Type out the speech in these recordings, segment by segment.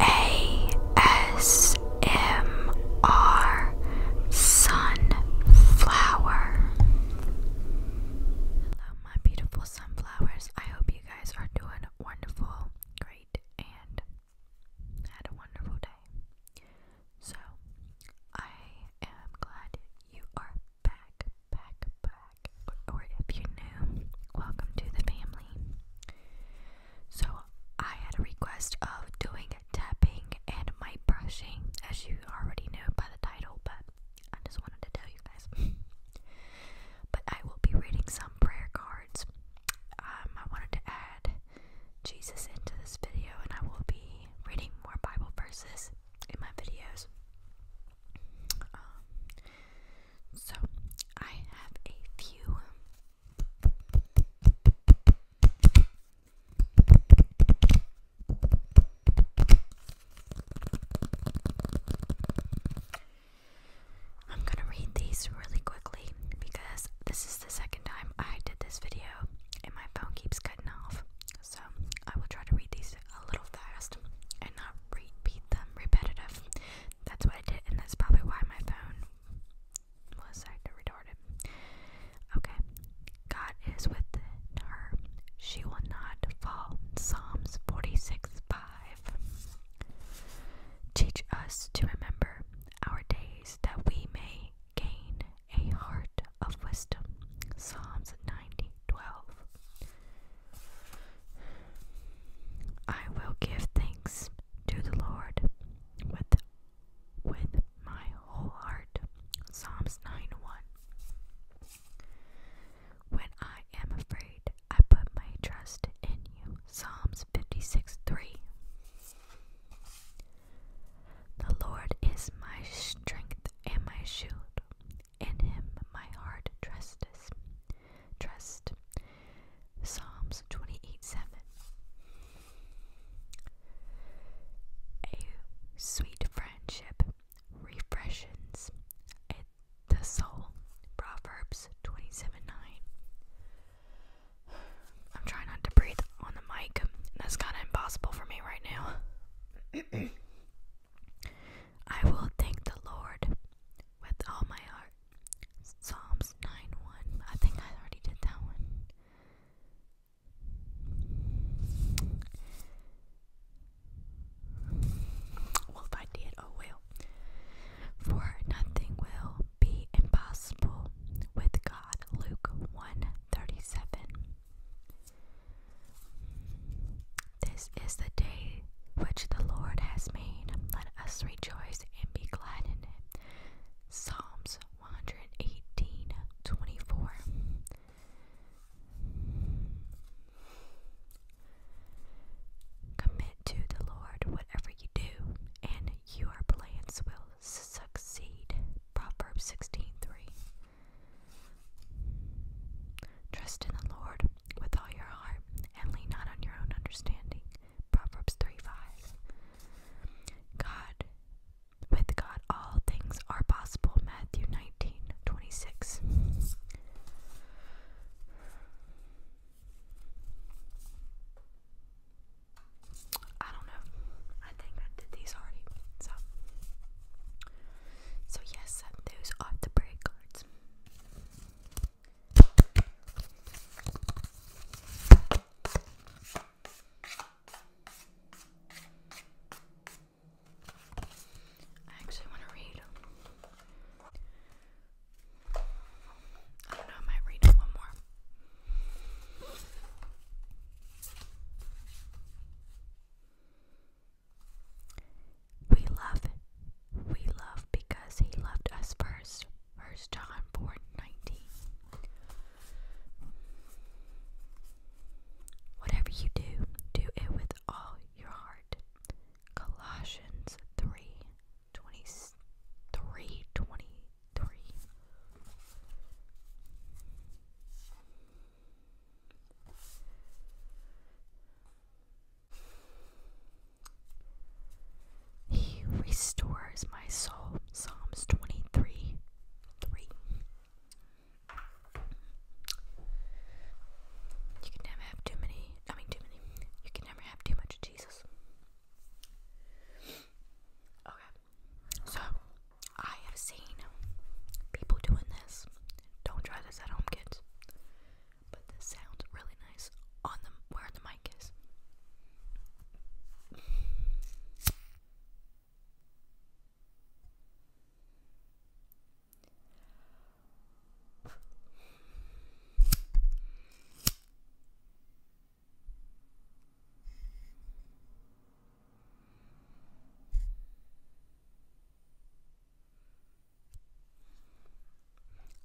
ASMR Sunflower. my beautiful sunflowers. I hope you guys are doing wonderful, great, and had a wonderful day. So, I am glad you are back, back, back or if you're new, welcome to the family. So, I had a request of doing tapping and mic brushing, as you already know by the title, but I just wanted to tell you guys. but I will be reading some prayer cards. Um, I wanted to add Jesus into this video, and I will be reading more Bible verses in my videos. Um, so I have a few I'm going to read these really quickly because this is the second time I did this video and my phone keeps cutting off. So I will try to read these a little fast and not repeat them repetitive. That's what I did, and that's probably why my phone was acting retarded. Okay. God is with her. She will not fall. Psalms 46 5. Teach us to remember our days that we may gain a heart of wisdom. Psalms 90 I will give thanks to the Lord with with my whole heart. Psalms 9 1. When I am afraid, I put my trust in you. Psalms 56 3. The Lord is my strength and my shield. In him my heart trusts trust. Psalms 28 7. A sweet friendship refreshes the soul. Proverbs 27 9. I'm trying not to breathe on the mic. That's kind of impossible for me right now. I will thank the Lord with all my heart. Psalms 9 1. I think I already did that one. Well, if I did, oh well. For nothing will be impossible with God. Luke 1 This is the day which the Lord has made. Let us rejoice and be glad in it. Psalms 118 24. Commit to the Lord whatever you do, and your plans will succeed. Proverbs 16 Trust in the Lord with all your heart and lean not on your own understanding. Proverbs 3 5. God, with God, all things are possible. Matthew nineteen twenty six. I don't know. I think I did these already. So, so yes, those are the break cards. I actually want to read. I don't know, I might read one more. We love, we love because he loved us first. First John 4 19. Whatever you do, do it with all your heart. Colossians 3 he restores my soul. Psalms 23 3. You can never have too many, I mean, too many. You can never have too much Jesus. Okay, so I have seen people doing this. Don't try this at home, kids but this sounds really nice on the where the mic is.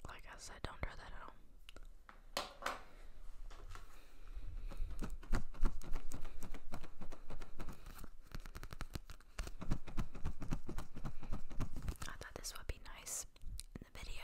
Like I said, don't try that at all. I thought this would be nice in the video.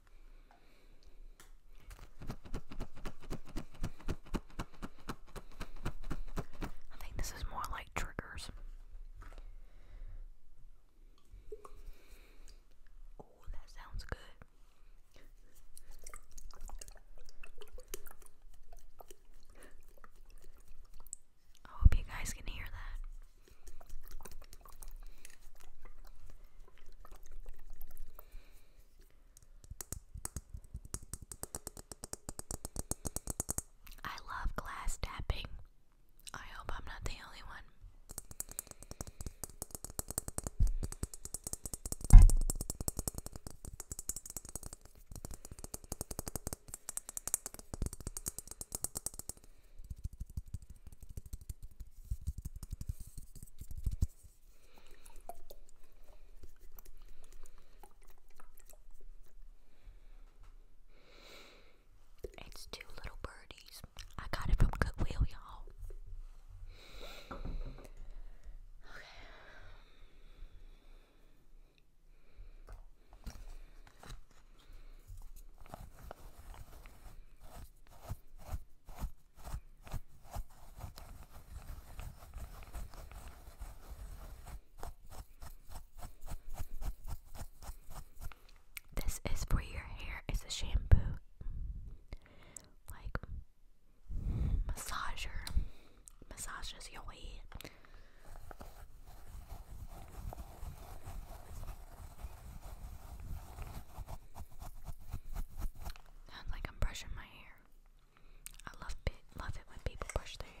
I think this is more like triggers. Oh, that sounds good. I hope you guys can hear that. I love glass tapping. I hope I'm not the only one. It's two little birdies. I got it from Goodwill, y'all. Okay. This is for your hair. It's a shampoo, like massager, massages your head. Sounds like I'm brushing my hair. I love love it when people brush their hair.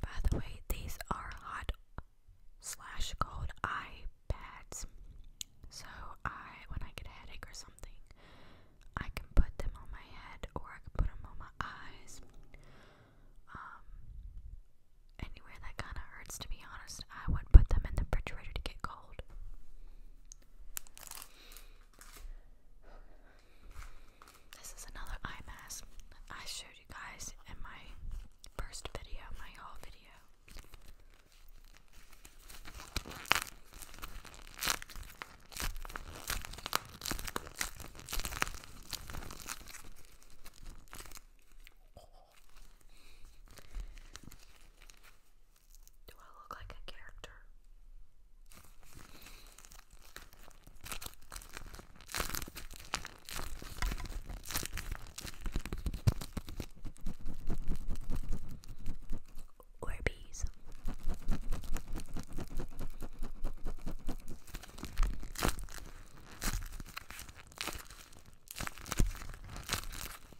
By the way, these are hot slash cold iPads, So I, when I get a headache or something, I can put them on my head or I can put them on my eyes. Um, anywhere that kind of hurts, to be honest, I would put them in the refrigerator to get cold. This is another eye mask that I showed you guys in my first video, my haul video. Do I look like a character? Orbeez.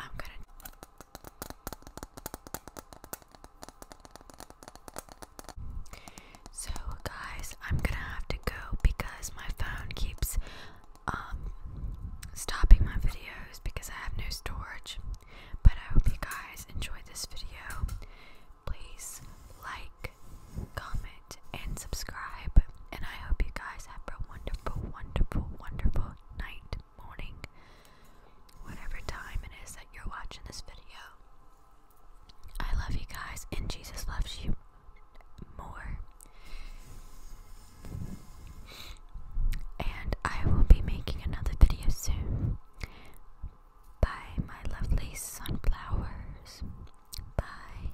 I'm gonna. So, guys, I'm gonna have to go because my phone keeps um, stopping my videos because I have no storage. But I hope you guys enjoyed this video. Please like, comment, and subscribe. And I hope you guys have a wonderful, wonderful, wonderful night, morning, whatever time it is that you're watching this video. I love you guys, and Jesus loves you more. And I will be making another video soon. Bye, my lovely sunflowers. Bye.